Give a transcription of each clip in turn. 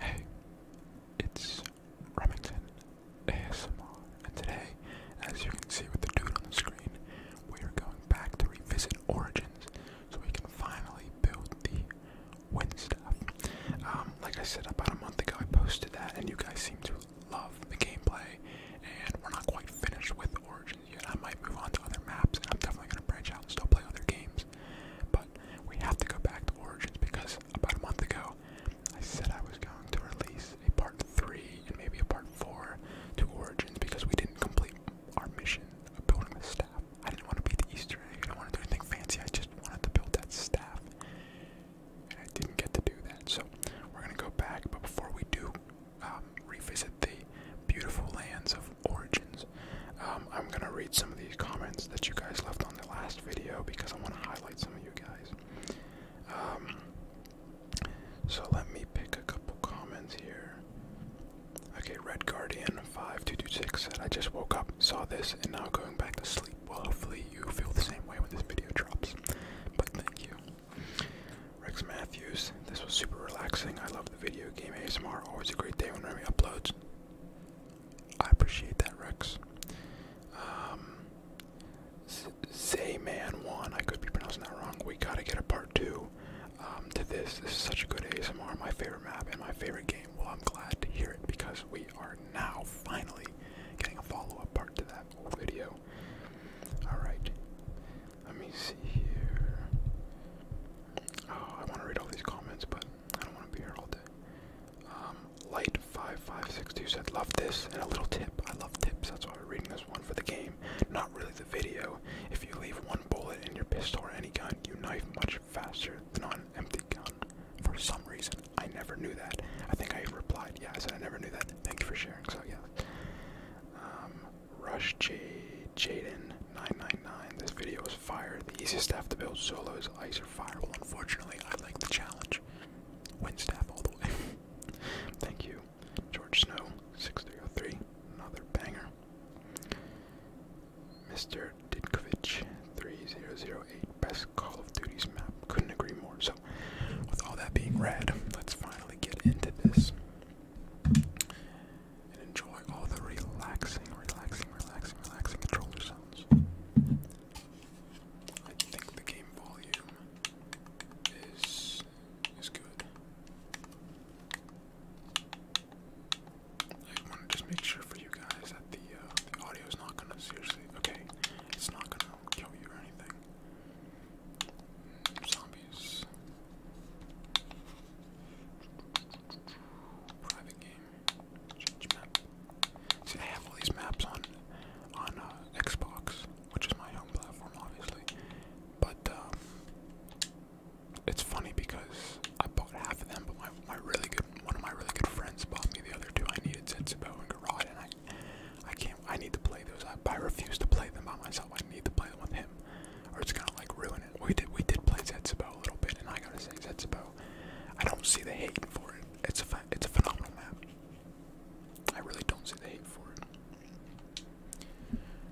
Hey, it's Remington ASMR, and today, as you can see with the dude on the screen, we are going back to revisit Origins so we can finally build the wind um, like I said, about a month ago, I posted that, and you guys seem to love the gameplay, and we're not quite finished with Origins options I might move on to other maps, I'm definitely gonna branch out and still play other games. But we have to go back to Origins because about a month ago, I said I was going to release a part three and maybe a part four to Origins because we didn't complete our mission of building the staff. I didn't want to beat the Easter egg. I didn't want to do anything fancy. I just wanted to build that staff, and I didn't get to do that. So we're gonna go back, but before we do. Um, revisit the beautiful lands of origins. Um, I'm gonna read some of these comments that you guys left on the last video because I want to highlight some of you guys. Um, so let me pick a couple comments here. Okay, Red Guardian five two two six said I just woke up, saw this, and now going back to sleep. Well, hopefully you feel the same way when this video drops. But thank you, Rex Matthews. This was super relaxing. I love video game ASMR. Always a great day when Remy uploads. I appreciate that, Rex. Um, Zayman one. I could be pronouncing that wrong. We gotta get a part two um, to this. This is such a good ASMR. My favorite map and my favorite game. Well, I'm glad to hear it because we are now finally getting a follow-up part to that whole video. All right. Let me see here. Oh, I want to read all these comments, but I don't want to be here all day. Um, Light5562 said, Love this, and a little tip. I love tips, that's why I'm reading this one for the game, not really the video. If you leave one bullet in your pistol or any gun, you knife much faster than on an empty gun. For some reason, I never knew that. I think I replied, yes. I I never knew that. Thank you for sharing, so yeah. Um, Rush J Jaden 999. This video is fire. The easiest staff to build solo is ice or fire. Well, unfortunately, I like the challenge. Win staff all the way. Thank you, George Snow 6303. Another banger. Mr. Ditkovich 3008. Best Call of Duty's map. Couldn't agree more. So, with all that being read, let's finally get into this and enjoy all the relaxing, relaxing, relaxing, relaxing controller sounds. I think the game volume is is good. I want to just make sure for you guys that uh, the audio is not gonna seriously. Okay, it's not gonna kill you or anything. Zombies. Private I have all these maps on on uh, Xbox, which is my home platform, obviously. But um, it's funny because I bought half of them, but my my really good one of my really good friends bought me the other two. I needed Zensibo and Garage, and I I can't I need to play those. I, I refuse to play them by myself. I need to play them with him, or it's gonna like ruin we did we did play Zetsubou a little bit, and I gotta say Zetsubou, I don't see the hate for it. It's a it's a phenomenal map. I really don't see the hate for it.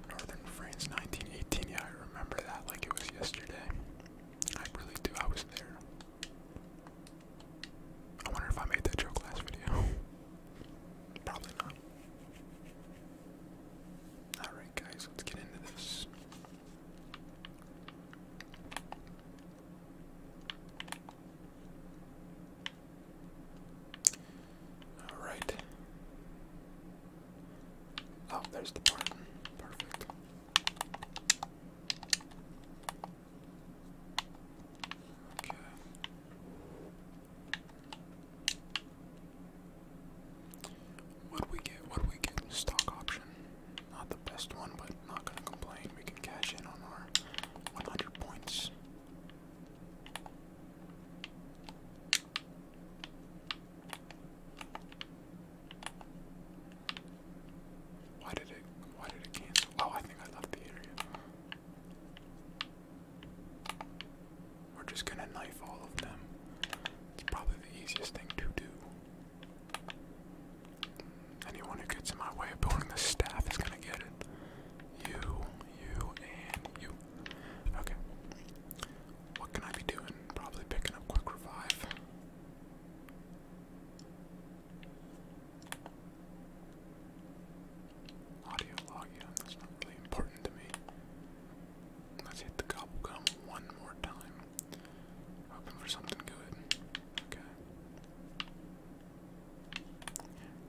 Northern France, 1918. Yeah, I remember that like it was yesterday. I really do. I was there. I wonder if I made that joke last video. Probably not. Alright, guys, let's get into this. Alright. Oh, there's the part. Perfect. Okay. What do we get? What do we get? Stock option. Not the best one, but not gonna complain. We can cash in on our 100 points. Why did it? Why did it cancel? Oh, I think I left the area. We're just gonna knife all of them. It's probably the easiest thing to do. Anyone who gets in my way of building the staff is gonna get it. You, you, and you. Okay. What can I be doing? Probably picking up quick revive. Audio log, that's not really important to me. Let's hit the gobblegum one more time. Hoping for something good. Okay.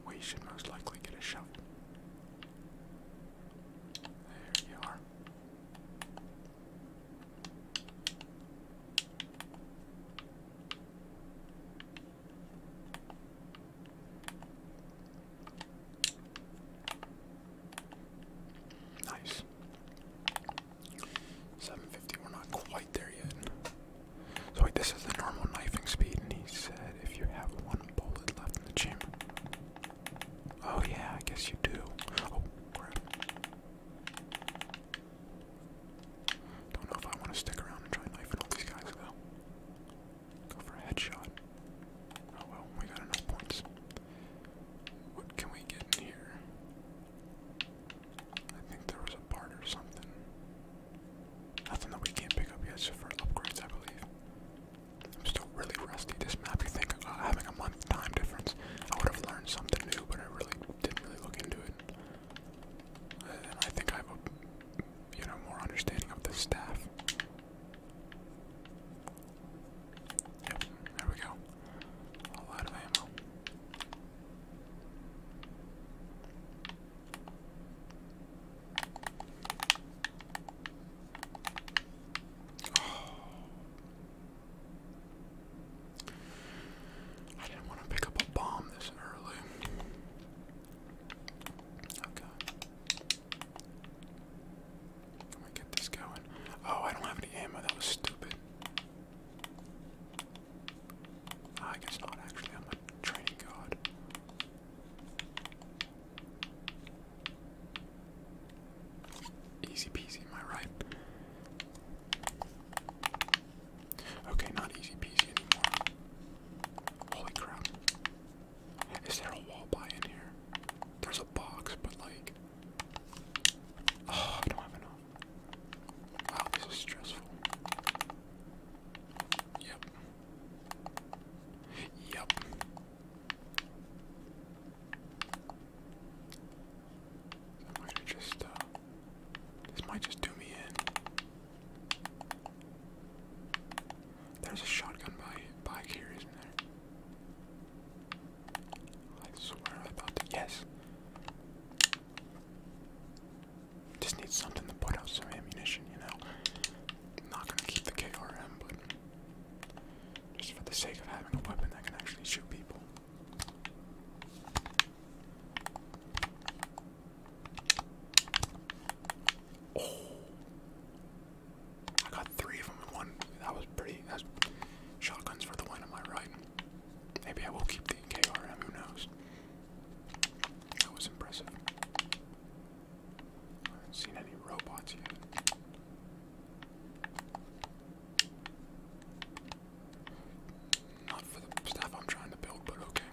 We should most likely get a shovel. There you are. Nice. 750, we're not quite there yet. So wait, this is the normal knifing speed, and he said if you have one bullet left in the chamber. Oh yeah, I guess you do. Oh, crap. Don't know if I want to stick around and try knifing all these guys though. Go for a headshot. Oh well, we got enough points. What can we get in here? I think there was a part or something. Nothing that we can't pick up yet, so for upgrades, I believe. I'm still really rusty. This map, you think uh, having a month time difference, I would have learned something new, but I really didn't really look into it. And I think I have a, you know, more understanding of the staff. Yep, there we go. A lot of ammo. Oh. I didn't want to pick up a bomb this early. Okay. I'm get this going. Oh, I don't have any ammo. That was stupid. Ah, I guess not, actually. I'm a training god. Easy peasy, am I right? Okay, not easy peasy anymore. Holy crap. Is there a wall by in here? There's a box, but like Oh, I don't have enough. Wow, this is stressful. Yep. Yep. I might just, uh, this might just do me in. There's a shotgun by, by here, isn't there? I swear I about Yes. Just need something to put out some ammunition, you know. not gonna keep the KRM, but just for the sake of having a weapon that can actually shoot people. Oh, I got three of them in one. That was pretty. That's shotguns for the win. Am I right? Maybe I will keep the KRM. Who knows? That was impressive. I haven't seen any robots yet. Not for the stuff I'm trying to build, but okay.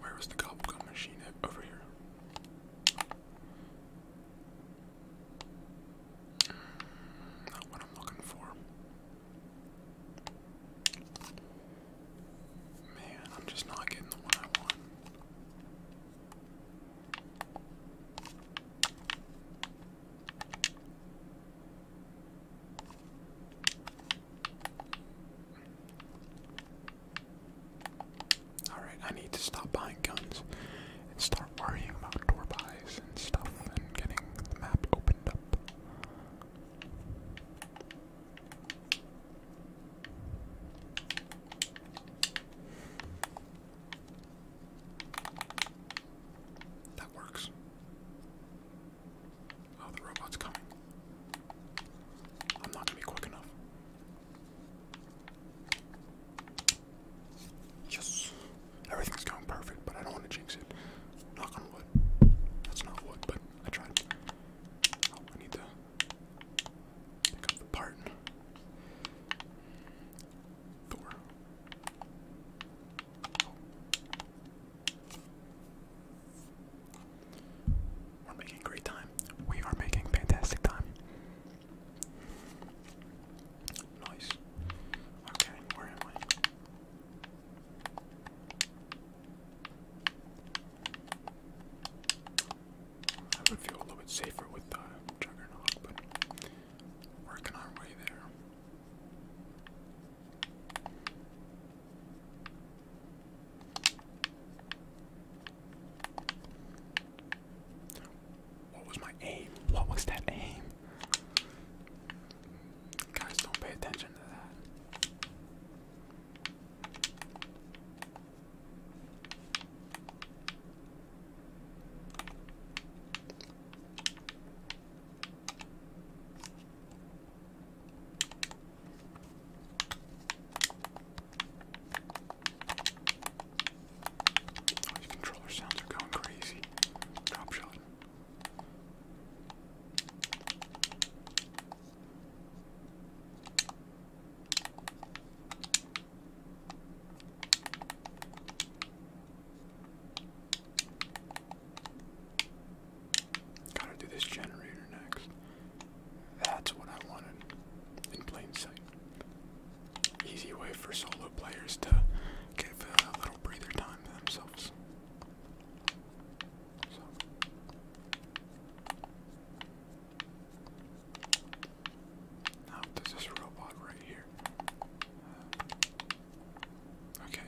Where is the gobble gun machine at? Over here. Not what I'm looking for. Man, I'm just not getting the one I want. Alright, I need to stop buying guns and start worrying about door and stuff and getting the map opened up. That works. Oh, the robot's coming. I'm not gonna be quick enough. Yes. Everything's going perfect, but I don't want to jinx it. Knock on wood. That's not wood, but I tried. I need to pick up the part. Thor. We're making great time. We are making fantastic time. Nice. Okay, where am I? I feel a little bit safer with the juggernaut, but working our way there. What was my aim? What was that aim? Guys, don't pay attention to that. These controller sounds are going crazy. Drop shot. Gotta do this generator next. That's what I wanted in plain sight. Easy way for solo players to get a little breather time to themselves. Now, there's this robot right here. Okay.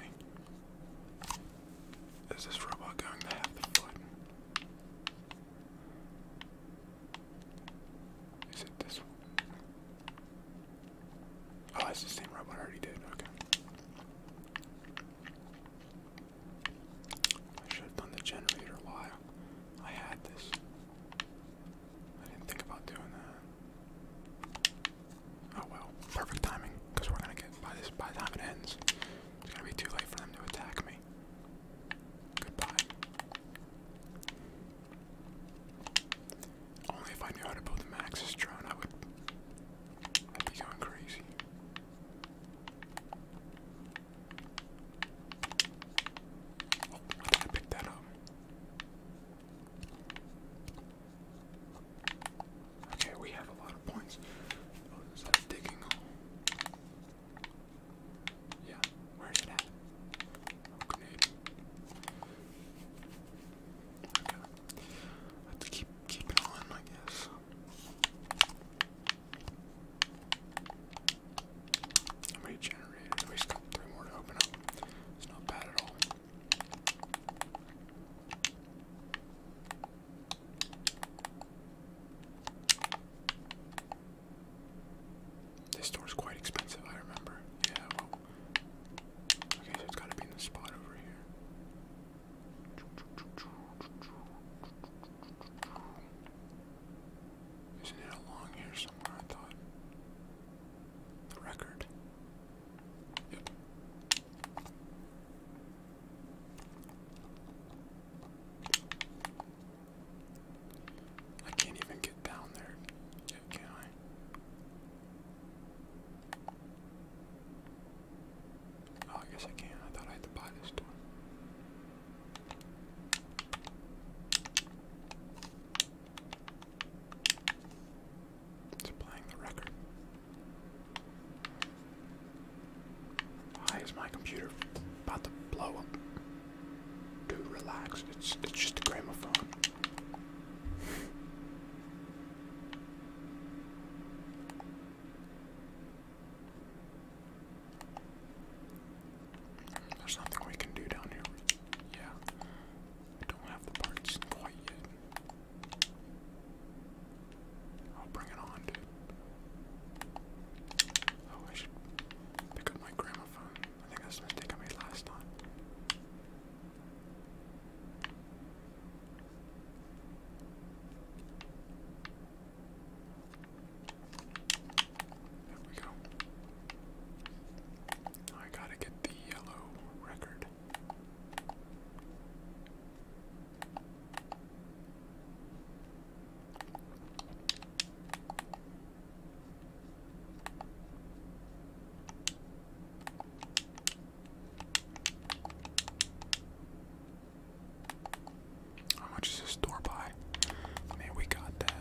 Is this robot going to have the foot? Is it this one? Oh, it's the same robot I already did. Okay. I should have done the generator while I had this. I didn't think about doing that. Oh well, perfect timing, because we're gonna get by this by the time it ends. It's gonna be too late for them to attack me. Goodbye. Only if I knew how to build a Maxis drone, I would I'd be going crazy. Oh, I think I that up. Okay, we have a lot of points. Oh, is that a digging hole? Yeah, it Okay. I have keep keep it on, I guess. How We just three more to open up. It's not bad at all. This store's quite expensive, I remember. Yeah, well. Okay, so it's gotta be in the spot over here. Isn't it along here somewhere, I thought? The record. Yep. I can't even get down there yet, can I? Oh, I guess I can. I thought I had to buy this door. It's playing the record. Why is my computer about to blow up? Dude, relax. It's it's just a gramophone. There's nothing we can do down here. Yeah. I don't have the parts quite yet. I'll bring it on, Oh, I should pick up my gramophone. I think that's the mistake I made last time. There we go. I gotta get the yellow record card. How much is this store buy? I mean, we got that.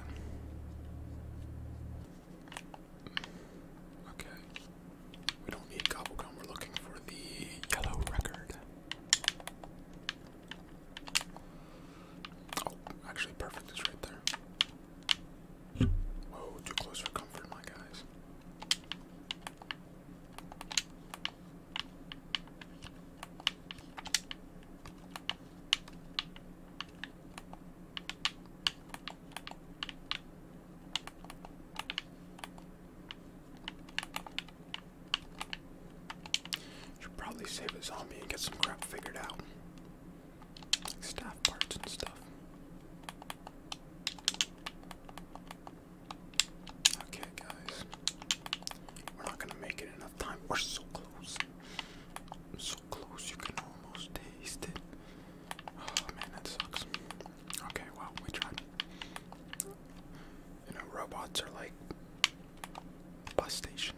Okay. We don't need Gobblegum, we're looking for the yellow record. Oh, actually, perfect is right there. Whoa, too close for comfort, my guys. Should probably save a zombie and get some crap figured out. Like staff parts and stuff. Okay, guys. We're not gonna make it enough time. We're so close. so close, you can almost taste it. Oh man, that sucks. Okay, well, we tried. You know, robots are like bus stations.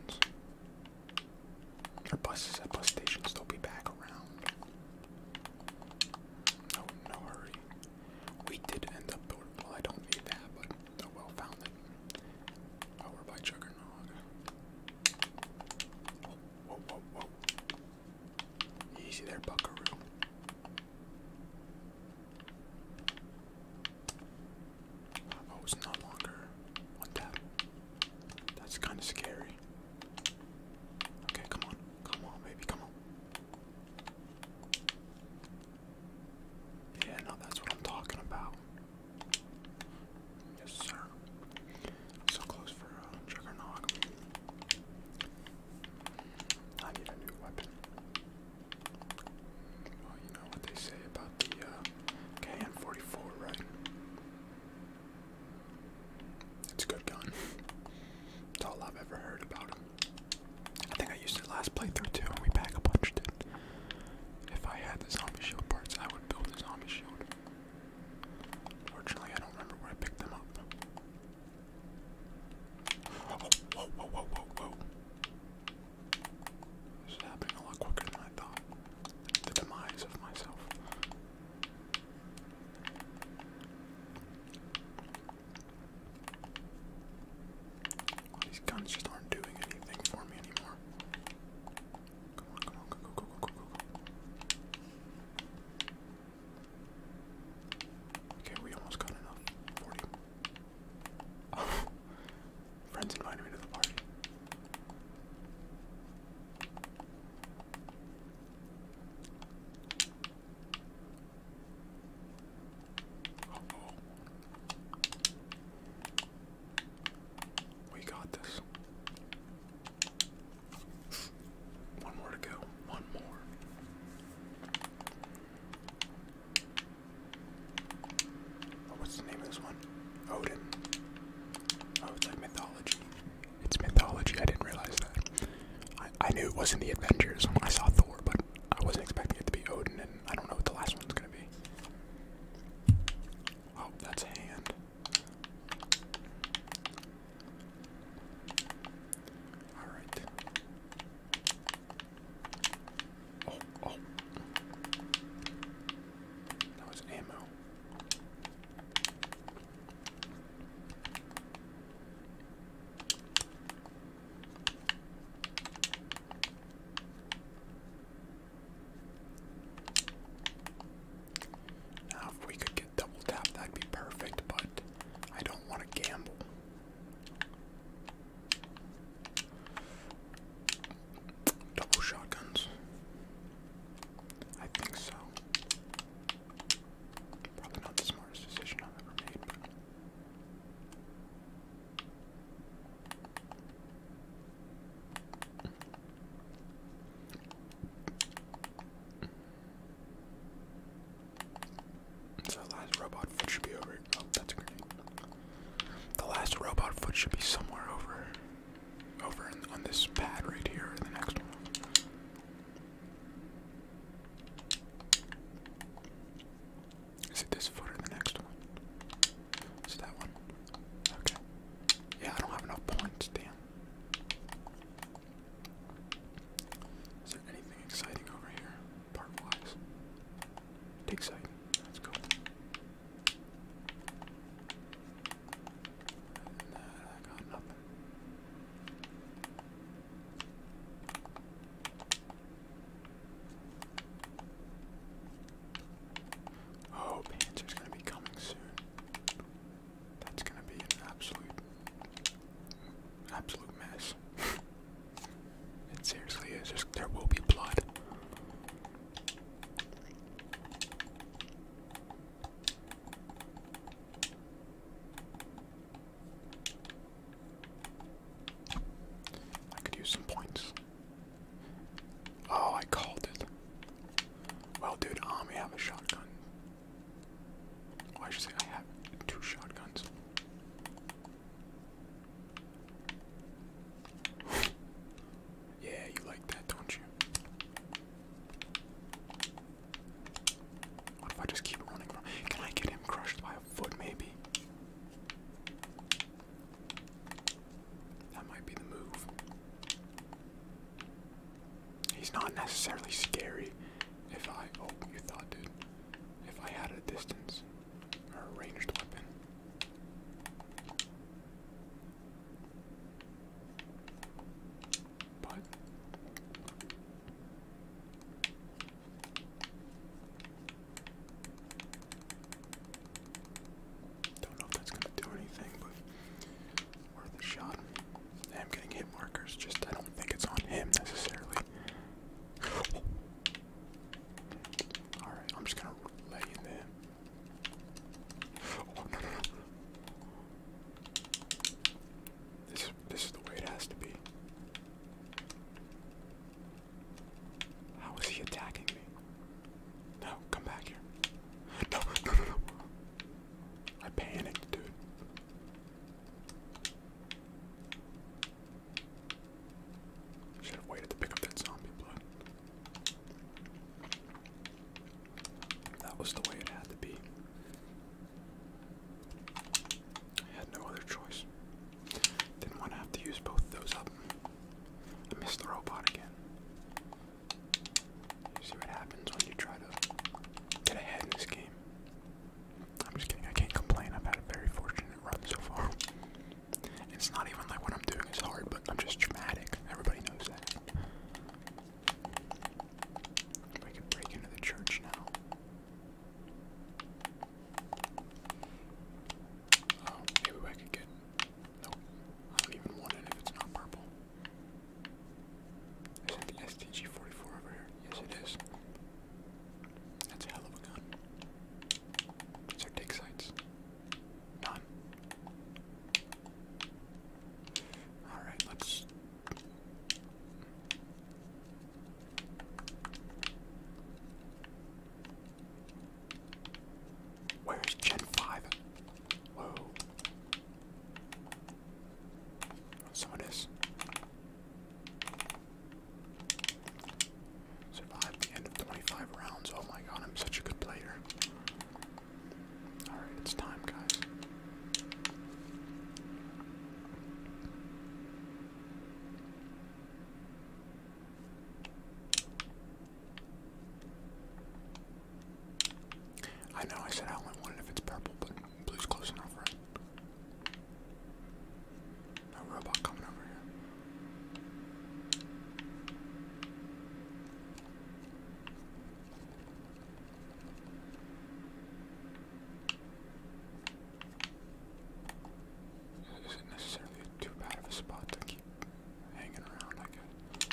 Or buses at bus stations, they'll be back around. No, no hurry. We did end up, well, I don't need that, but well, found it. by Juggernaut. whoa, whoa, whoa. Easy there, buckaroo. Oh, it's no longer one tap. That's kind of scary. Okay, come on. Come on, baby, come on. Yeah, no, that's what I'm talking about. Yes, sir. So close for uh, Juggernog. I need a new weapon. Well, oh, you know what they say about the uh, KN44, right? It's a good gun. It's all I've ever heard about it. I think I used it last playthrough too, we pack a bunch, If I had the zombie shield parts, I would build a zombie shield. Fortunately, I don't remember where I picked them up whoa, whoa, whoa, whoa, whoa. This is happening a lot quicker than I thought. The demise of myself. these guns just aren't doing anything for me anymore. Come on, come on, go, go, Okay, we almost got enough. 40. friends invited me to the party. oh. We got this. One more to go. One more. Oh, what's the name of this one? Odin. Oh, it's like mythology. It's mythology. I didn't realize that. I, I knew it wasn't the Avengers I saw Thor, but I wasn't expecting it to be Odin, and I don't know what the last one's gonna be. Oh, that's a hand. All right. Oh, That was ammo. Now, if we could get double tap, that'd be perfect, but I don't want to gamble. Double shotguns. I think so. Probably not the smartest decision I've ever made, the last robot foot should be over. Oh, that's great. The last robot foot should be somewhere over, over on this pad right here, the next one. Is it this foot or the next one? Is that one? Okay. Yeah, I don't have enough points, damn. Is there anything exciting over here? Park wise. Take sight. Let's go. I got nothing. Oh, Panzer's gonna be coming soon. That's gonna be an absolute, absolute mess. it seriously is. Just, there will be blood. I could use some points. Oh, I called it. Well, dude, um, have a shotgun. I should say I have two shotguns. yeah, you like that, don't you? What if I just keep running Can I get him crushed by a foot, maybe? That might be the move. He's not necessarily scary. If I oh you thought dude. If I had a distance or a ranged weapon. But don't know if that's gonna do anything, but worth a shot i am getting hit markers, just I don't think it's on him necessarily. Alright, I'm just gonna lay in there. Oh no no no. This this is the way it has to be. How is he attacking me? No, come back here. no, no, no. I panicked, dude. Should have waited to pick up that zombie blood. That was the way it had to be. I had no other choice. Didn't want to have to use both those up. I missed the robot again. You see what happens when you try to get ahead in this game. I'm just kidding, I can't complain. I've had a very fortunate run so far. It's not even like what I'm doing is hard, but I'm just dramatic. Everybody knows that. We can break into the church now. Oh, maybe I could get. Nope. I don't even want it if it's not purple. Isn't the STG 44 over here? Yes, it is. That's a hell of a gun. These are dig sites. None. Alright, let's. Where's Gen 5? Whoa. Someone is. Survived the end of 25 rounds. Oh my god, I'm such a good player. Alright, it's time, guys. I know I said I only want if it's purple, but Please close enough, right? No robot coming over here. Is it necessarily too bad of a spot to keep hanging around, I guess?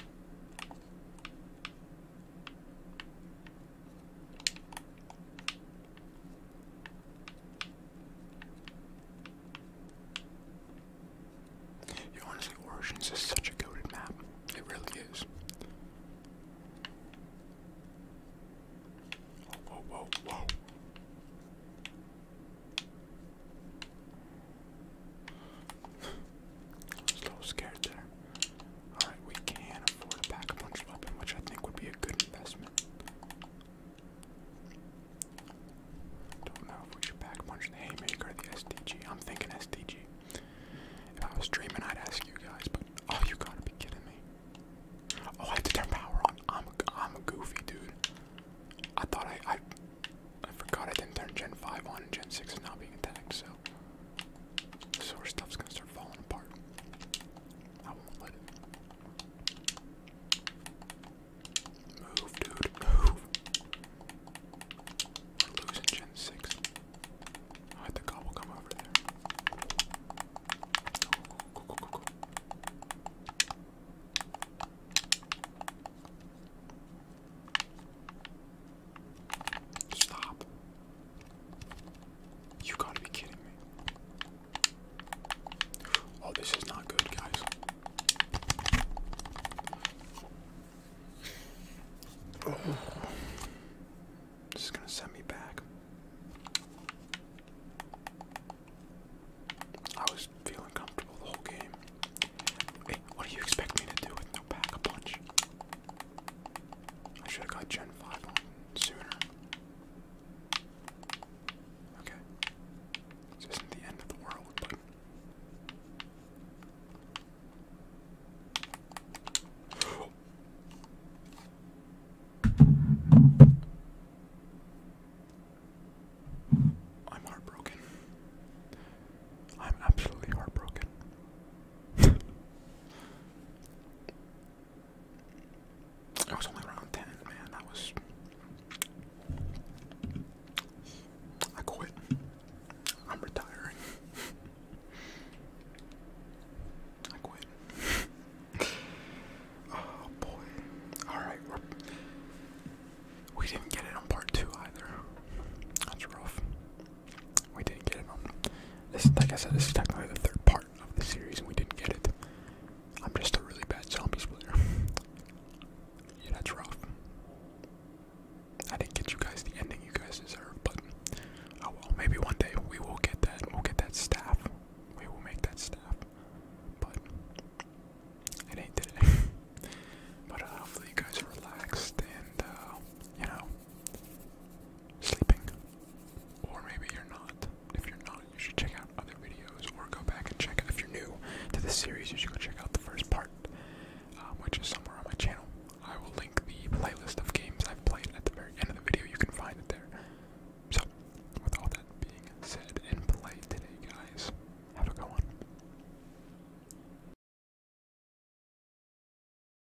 Yo, honestly, Origins is such a goaded map. It really is. Whoa, whoa, whoa, a little scared there. Alright, we can afford a pack a punch weapon, which I think would be a good investment. Don't know if we should pack punch the haymaker or the SDG. I'm thinking SDG. If I was dreaming, I'd ask you guys, but oh, you gotta be kidding me! Oh, I have to turn power on. I'm a, I'm a goofy dude. I thought I, I I forgot I didn't turn Gen Five on and Gen Six is now being attacked. So so our stuff's gonna start falling apart. I won't let it. Move, dude, move. losing Gen 6. I think I come over there. Stop. You gotta be kidding me. Oh, this is not good, guys. This is gonna send me back. I was feeling comfortable the whole game. Hey, what do you expect me to do with no pack punch? I should have got Gen 5 on sooner. Okay. This is the end of the world, I'm heartbroken. I'm absolutely heartbroken. I was only around 10, man. That was. I quit. I'm retiring. I quit. oh boy. Alright, we're. We we did not get it on part two either. That's rough. We didn't get it on. This, like I said, this is technically the third part of the series and we didn't get it. I'm just a really bad zombies player. yeah, that's rough. I didn't get you guys the ending you guys deserve, but oh well. Maybe one day we will get that. We'll get that staff. We will make that staff. But it ain't today. but uh, hopefully you guys are relaxed and uh, you know sleeping. Or maybe you're not. If you're not, you should check out other videos or go back and check out. If you're new to this series, you should go check out the first part, uh, which is somewhere on my channel. I will link the playlist of games I've played at the very end of the video. You can find it there. So, with all that being said and played today, guys, have a good one.